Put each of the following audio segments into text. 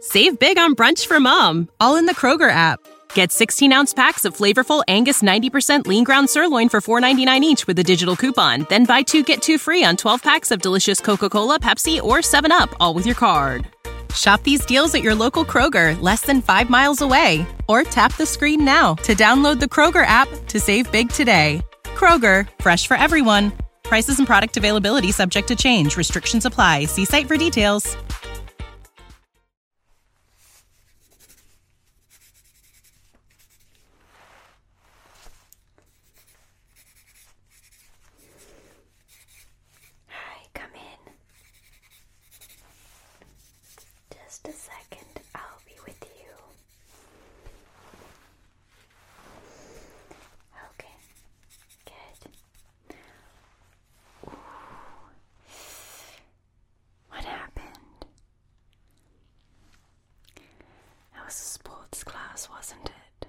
Save big on brunch for mom, all in the Kroger app. Get 16 ounce packs of flavorful Angus 90% lean ground sirloin for $4.99 each with a digital coupon. Then buy two get two free on 12 packs of delicious Coca Cola, Pepsi, or 7UP, all with your card. Shop these deals at your local Kroger, less than five miles away. Or tap the screen now to download the Kroger app to save big today. Kroger, fresh for everyone. Prices and product availability subject to change. Restrictions apply. See site for details. Hi, come in. Just a second, I'll be with you. Okay, good. What happened? That was a sports class, wasn't it?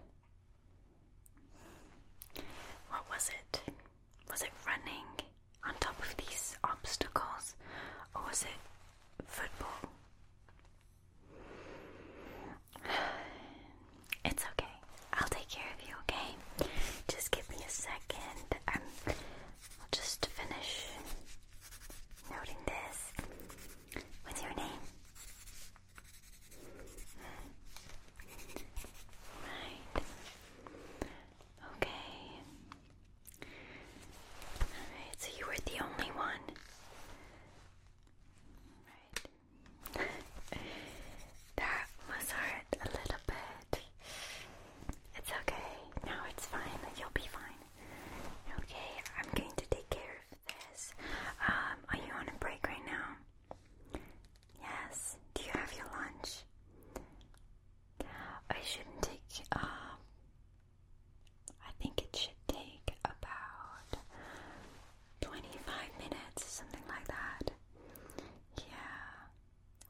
What was it? Was it running on top of these obstacles, or was it football? It's okay. I'll take care of you, okay? Just give me a second. Um, I'll just finish noting this. What's your name? Right. Okay. Alright, so you were the only one. Right that was hurt a little bit. It's okay. Now it's fine. You'll be fine. Okay, I'm going to take care of this. Um, are you on a break right now? Yes. Do you have your lunch? I should take. Um, I think it should take about 25 minutes, something like that. Yeah.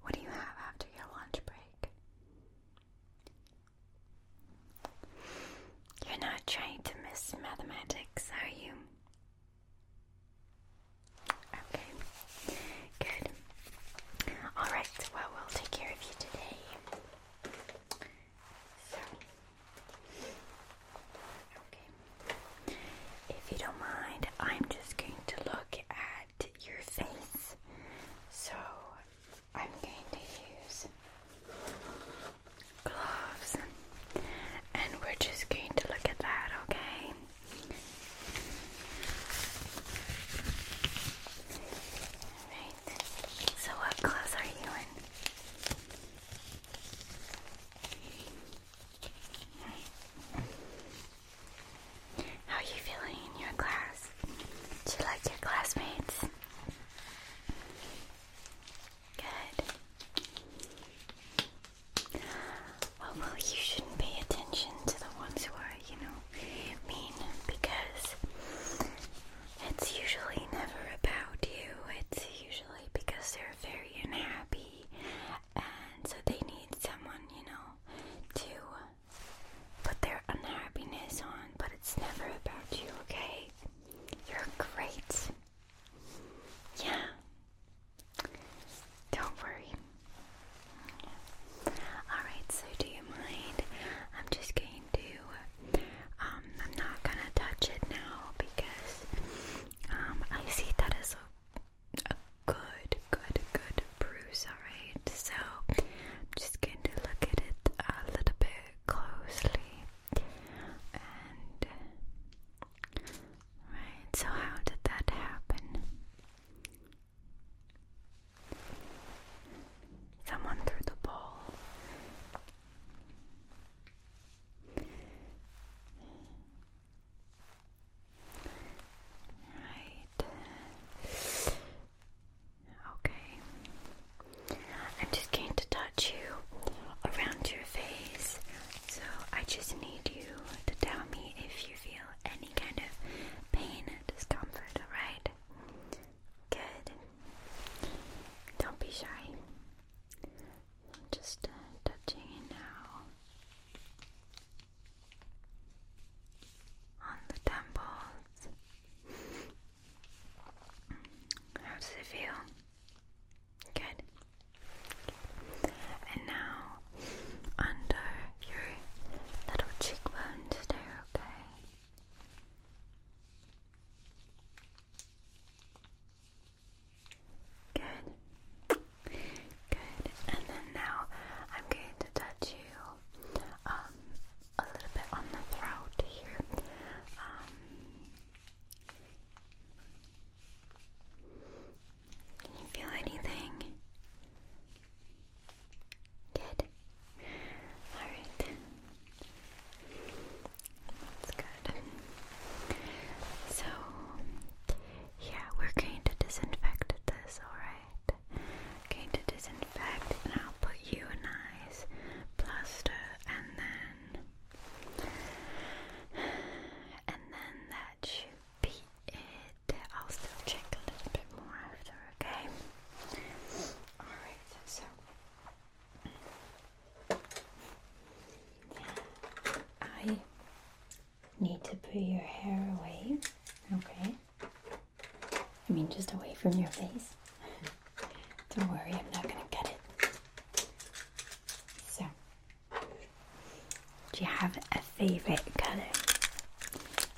What do you have after your lunch break? You're not trying to miss mathematics, are you? Okay, good. Alright, well, we'll take care of you today. If you don't mind, I'm just going to look at your face. So I'm going to use gloves and we're just going to look at that, okay? Right. So what clothes are you in? How are you feeling in your class? Do you like your classmates? Good. Well, you shouldn't pay attention to the ones who are, you know, mean because it's usually never about you. It's usually because they're very unhappy and so they need someone, you know, to put their unhappiness on, but it's never about you, okay? You're great. Yeah. Don't worry. Alright, so do you mind? I'm just going to um, I'm not gonna touch it now because um, I see that as a, good, good, good bruise, alright? So I'm just going to look at it a little bit closely. right, so how did that happen? Someone threw the ball. Right. Okay. I'm just going to touch you around your face. So I just need you to tell me if you feel any kind of pain or discomfort, alright? Good. Don't be shy. Just uh, touching it now on the temples. How does it feel? Good. And now under your little cheekbones there, okay? Good. Good. And then now I'm going to touch you um, a little bit on the throat here. Um, can you feel anything? Good. Alright. That's good. So, yeah, we're going to disinfect this, alright? Going to disinfect, and I'll put you a nice plaster, and then. And then that should be it. I'll still check a little bit more after, okay? Alright, so I need to put your hair away, okay? I mean, just away from your face. Don't worry, I'm not gonna cut it. So, do you have a favorite color?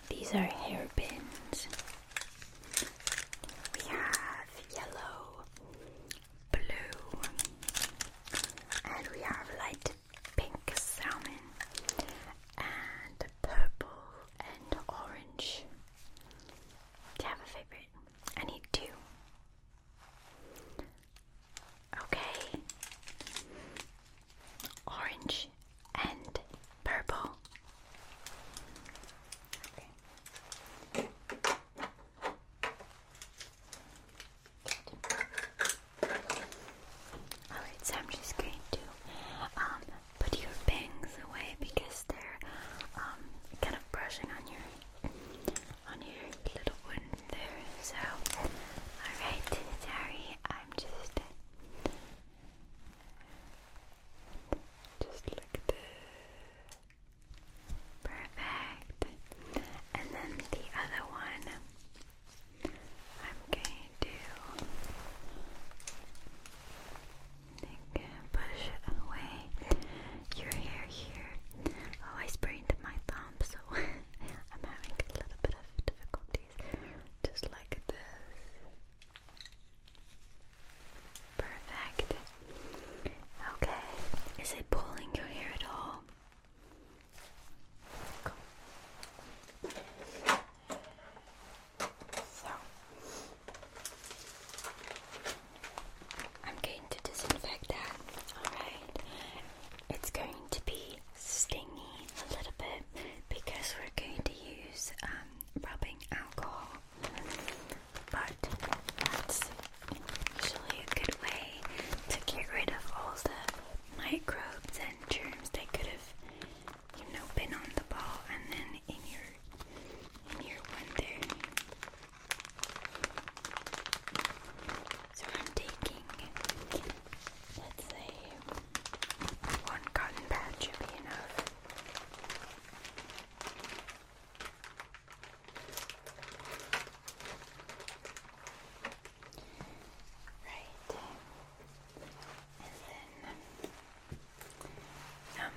These are hairpins. We have yellow, blue, and we have light pink salmon, and purple, and orange. Do you have a favorite? I need two. Okay. Orange and purple. Alright, so I'm just going to um, put your bangs away because they're um, kind of brushing on your on your little one there. So, alright, sorry, I'm just just like this. Perfect. And then the other one, I'm going to think, push away your hair here. Oh, I sprained my thumb, so I'm having a little bit of difficulties. Just like this. Perfect. Okay. Is it pulling your hair at all? So, I'm going to disinfect that. Alright. It's going to be stingy a little bit because we're going to use um, rubbing alcohol but that's usually a good way to get rid of all the microbes and germs that could have, you know, been on the ball and then in your in your one So I'm taking, let's say, one cotton pad should be enough. Right. And then um, alcohol.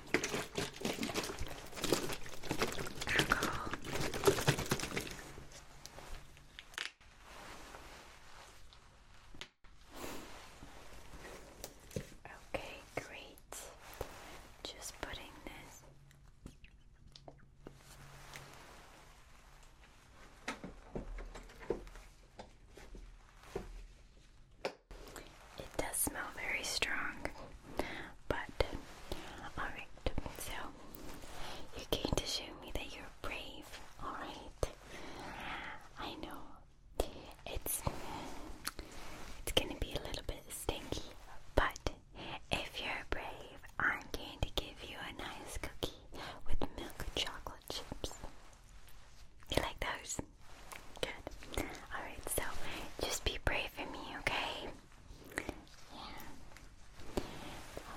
Okay, great just putting this. It does smell very strong, but alright, so you're to show me that you're brave, alright? I know it's it's gonna be a little bit stinky, but if you're brave, I'm going to give you a nice cookie with milk and chocolate chips. You like those? Good. Alright, so just be brave for me, okay? Yeah.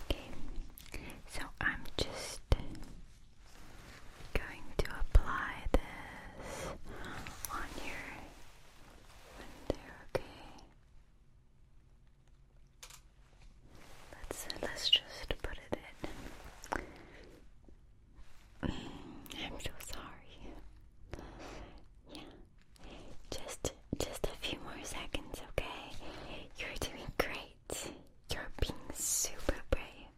Okay. So I'm just going to apply this on your window, okay? let let's just put it in. Mm, I'm so sorry. Yeah. Just just a few more seconds, okay? You're doing great. You're being super brave.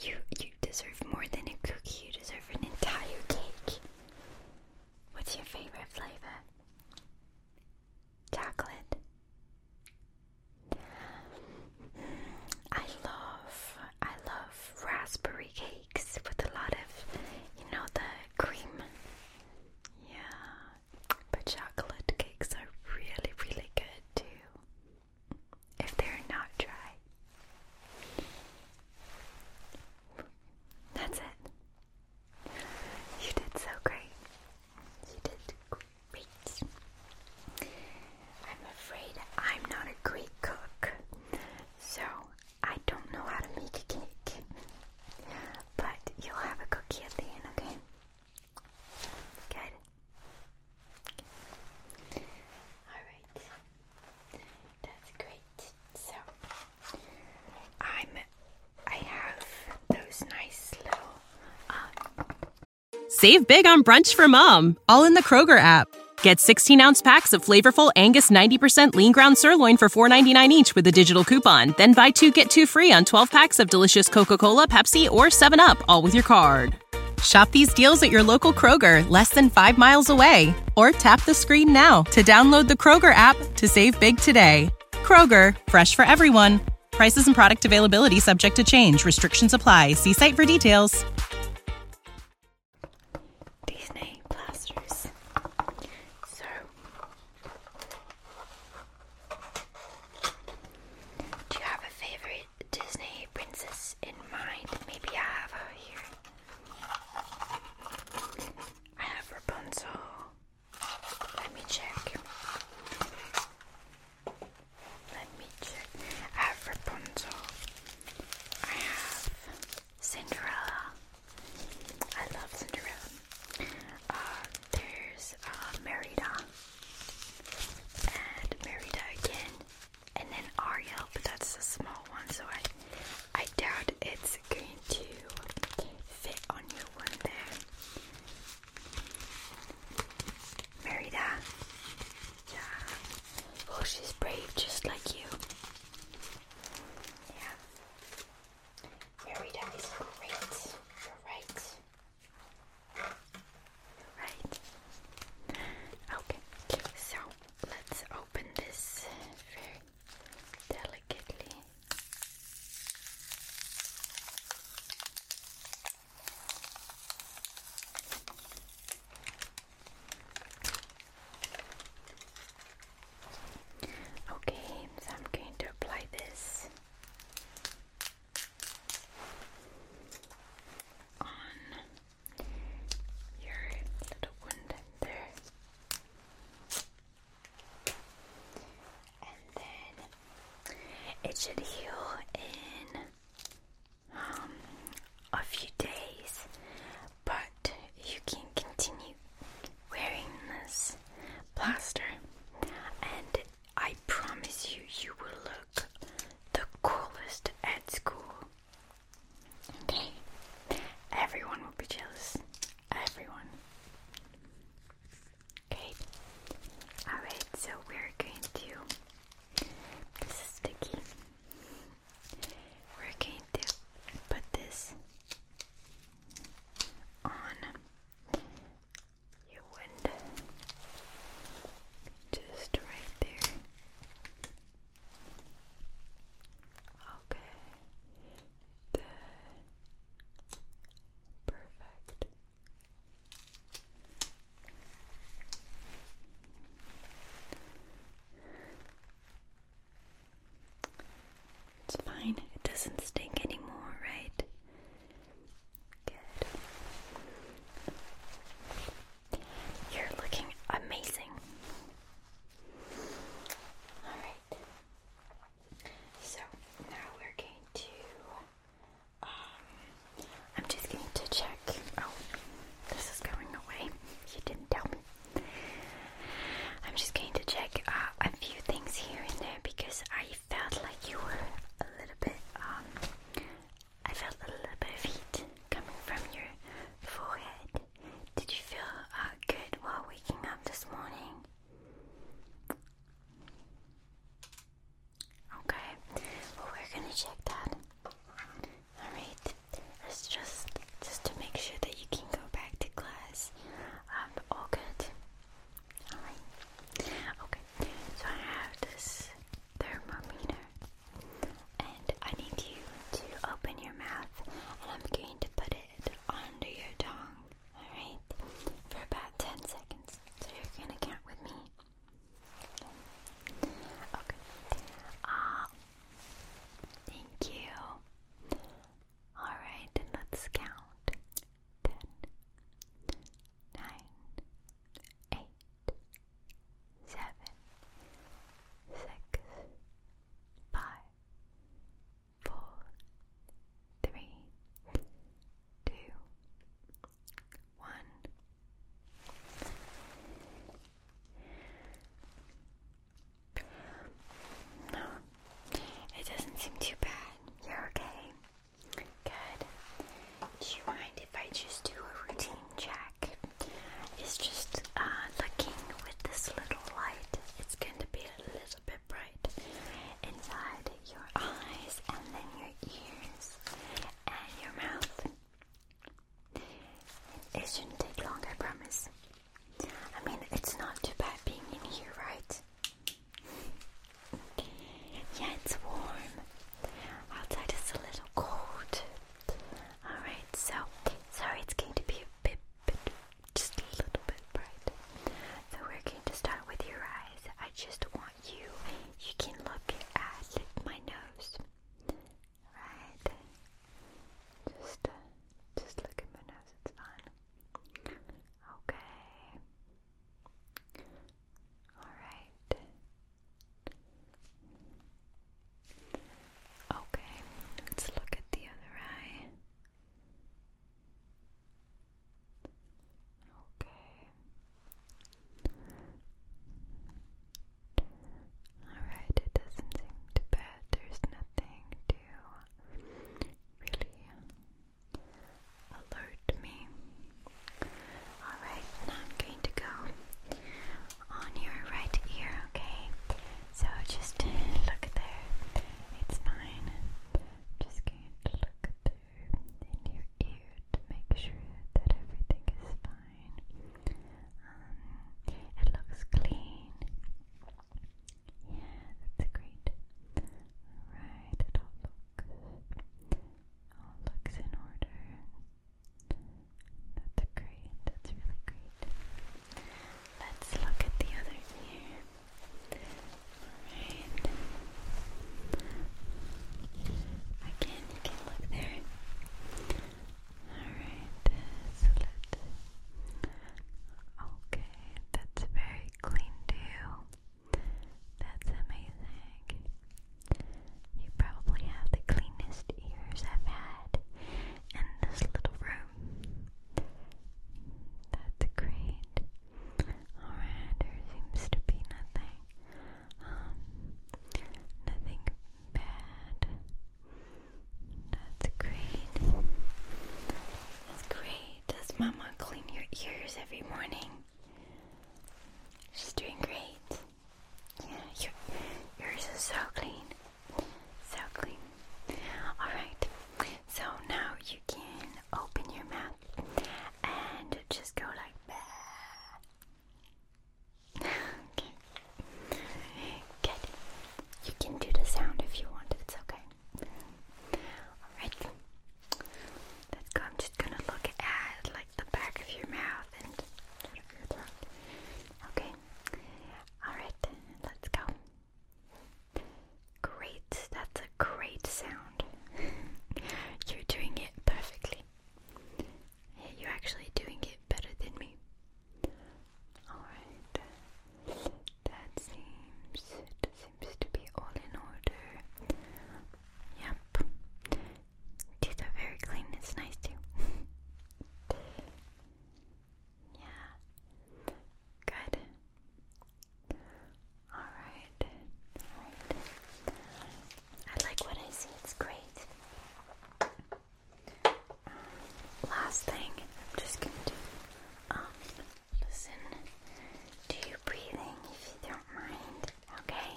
You you deserve more than a cookie. You deserve an entire cake. What's your favorite flavor? Chocolate. I love I love raspberry cakes with a lot of you know the cream. Yeah. But chocolate cakes are really really good too if they're not dry. That's it. You did so great. You did great. I'm afraid I'm not a great cook, so I don't know how to make a cake. But you'll have a cookie at the end, okay? Good. Um, Save big on brunch for mom, all in the Kroger app. Get 16 ounce packs of flavorful Angus 90% lean ground sirloin for $4.99 each with a digital coupon. Then buy two get two free on 12 packs of delicious Coca Cola, Pepsi, or 7UP, all with your card. Shop these deals at your local Kroger, less than five miles away, or tap the screen now to download the Kroger app to save big today. Kroger, fresh for everyone. Prices and product availability subject to change. Restrictions apply. See site for details. Disney plasters. So, do you have a favorite? Disney princess in mind. Maybe I have her here. I have Rapunzel. Let me check. Let me check. I have Rapunzel. I have Cinderella. I love Cinderella. Uh, there's uh, Merida. And Merida again and then Ariel, but that's a small one, so I I doubt it's going to fit on your one there. Merida, yeah. Oh, she's brave, just like you. Yeah. Merida is great. You're right. Right. Okay, so let's open this very delicately. Okay, I'm going to apply this on your little wound there. And then it should heal in um, a few days, but you can continue wearing this plaster, and I promise you, you will look the coolest at school. Okay? Everyone will be jealous. Everyone. Okay? Alright, so we're going to. This is sticky. We're going to put this on your wind. Just right there. Okay. perfect. It's fine. It doesn't stink anymore, right? Good. You're looking amazing. Alright. So now we're going to. Um, I'm just going to check. Oh, this is going away. You didn't tell me. I'm just going to check uh, a few things here and there because I felt like you were a little bit um, I felt a little bit of heat coming from your forehead. Did you feel uh, good while waking up this morning? Okay, well we're gonna check that. Alright, let's just, just to make sure that you can go back to class. Um, all good. Alright. Okay, so I have this thermometer. And I need you to open your mouth and I'm going to put it under your tongue, alright? For about 10 seconds. So you're gonna count with me. Okay. okay. Ah, thank you. Alright, and let's count. 10, eight, seven, six, five, four, three, two, one. No, it doesn't seem too bad. You're okay. Good. Do you mind if I just do a routine check? It's just uh, looking with this little light. It's going to be a little bit bright inside your eyes and then your ears and your mouth. It shouldn't take long, I promise. I mean, it's not too bad being in here, right? Yeah, it's warm. Outside it's a little cold. Alright, so sorry it's going to be a bit, bit just a little bit bright. So we're going to start with your eyes. I just want you you can look at my nose. Right. Just uh, just look at my nose, it's fine. Okay. Alright. Okay, let's look at the other eye. Okay. Alright, it doesn't seem There's nothing to really alert me. Alright, now I'm going to go on your right ear, okay? So just look there. It's fine. Just going to look there in your ear to make sure that everything is fine. Um, it looks clean. Yeah, that's great. Alright, it'll look all looks in order. That's great. That's really great. Let's look at the other ear. Alright. Again, you can look there. Alright, Okay, that's very clean too. That's amazing. You probably have the cleanest ears I've had in this little room. That's great. Alright, there seems to be nothing. Um, nothing bad. That's great. That's great. Does Mama clean your ears every morning? She's doing great. Yeah, yours is so clean. So clean. Alright, so now you can open your mouth and just go like that. okay. Good. You can do the sound if you want, it's okay. Alright, Let's go. I'm just gonna look at like the back of your mouth and your throat. Okay. All right. Let's go. Great. That's a great sound. You're doing it perfectly. You're actually doing it better than me. All right. That seems Seems to be all in order. Yep. These are very clean, it's nice too. yeah. Good. Alright. Alright. I like what I see, it's great. Um, last thing, I'm just gonna do um listen to you breathing if you don't mind. Okay?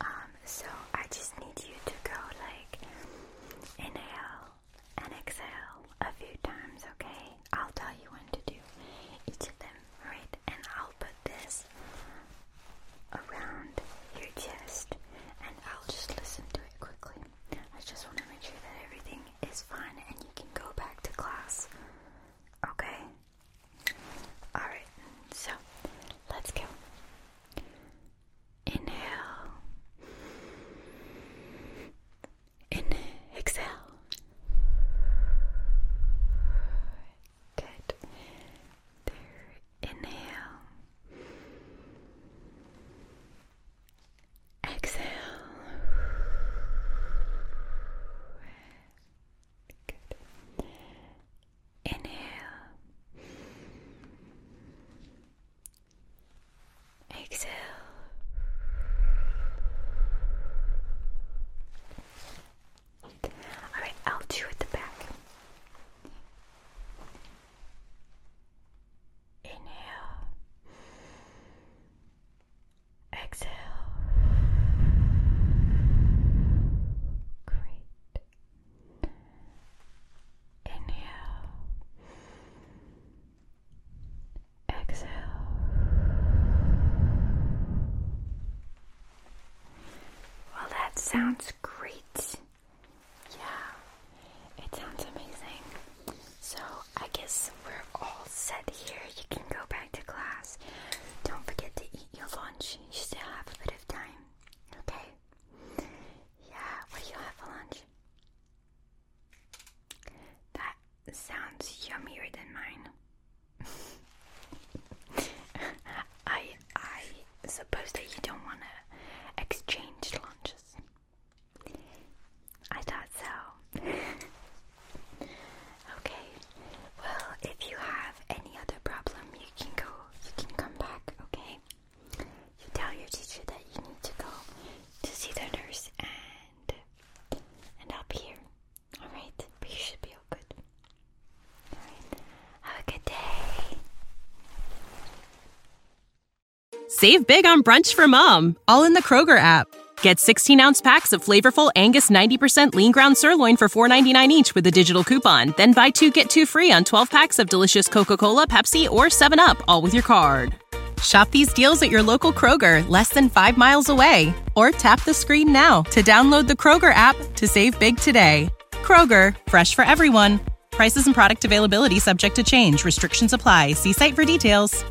Um, so I just need you to go like inhale and exhale a few times, okay? I'll tell you when to do each of them, right? And I'll put this around your chest and I'll just listen to it quickly. I just want to make sure that everything is fine and you can go back to class, okay? Alright, so let's go. Inhale. In exhale. Good. There. Inhale. Exhale. Inhale. Exhale. Alright, I'll do at the back. Inhale. Exhale. Great. Inhale. Exhale. Well, that sounds great. Yeah, it sounds amazing. So, I guess we're all set here. You can go back to class. Don't forget to eat your lunch. You still have a bit of time. Okay? Yeah, what you have for lunch? That sounds yummier than mine. I I suppose that you don't want to exchange lunches. I thought so. Okay. Well, if you have any other problem, you can go. You can come back. Okay. tell your teacher that you need to go to see the nurse, and and I'll be here. All right. But you should be all good. Have a good day. Save big on brunch for mom, all in the Kroger app. Get 16 ounce packs of flavorful Angus 90% lean ground sirloin for $4.99 each with a digital coupon. Then buy two get two free on 12 packs of delicious Coca Cola, Pepsi, or 7UP, all with your card. Shop these deals at your local Kroger, less than five miles away. Or tap the screen now to download the Kroger app to save big today. Kroger, fresh for everyone. Prices and product availability subject to change. Restrictions apply. See site for details.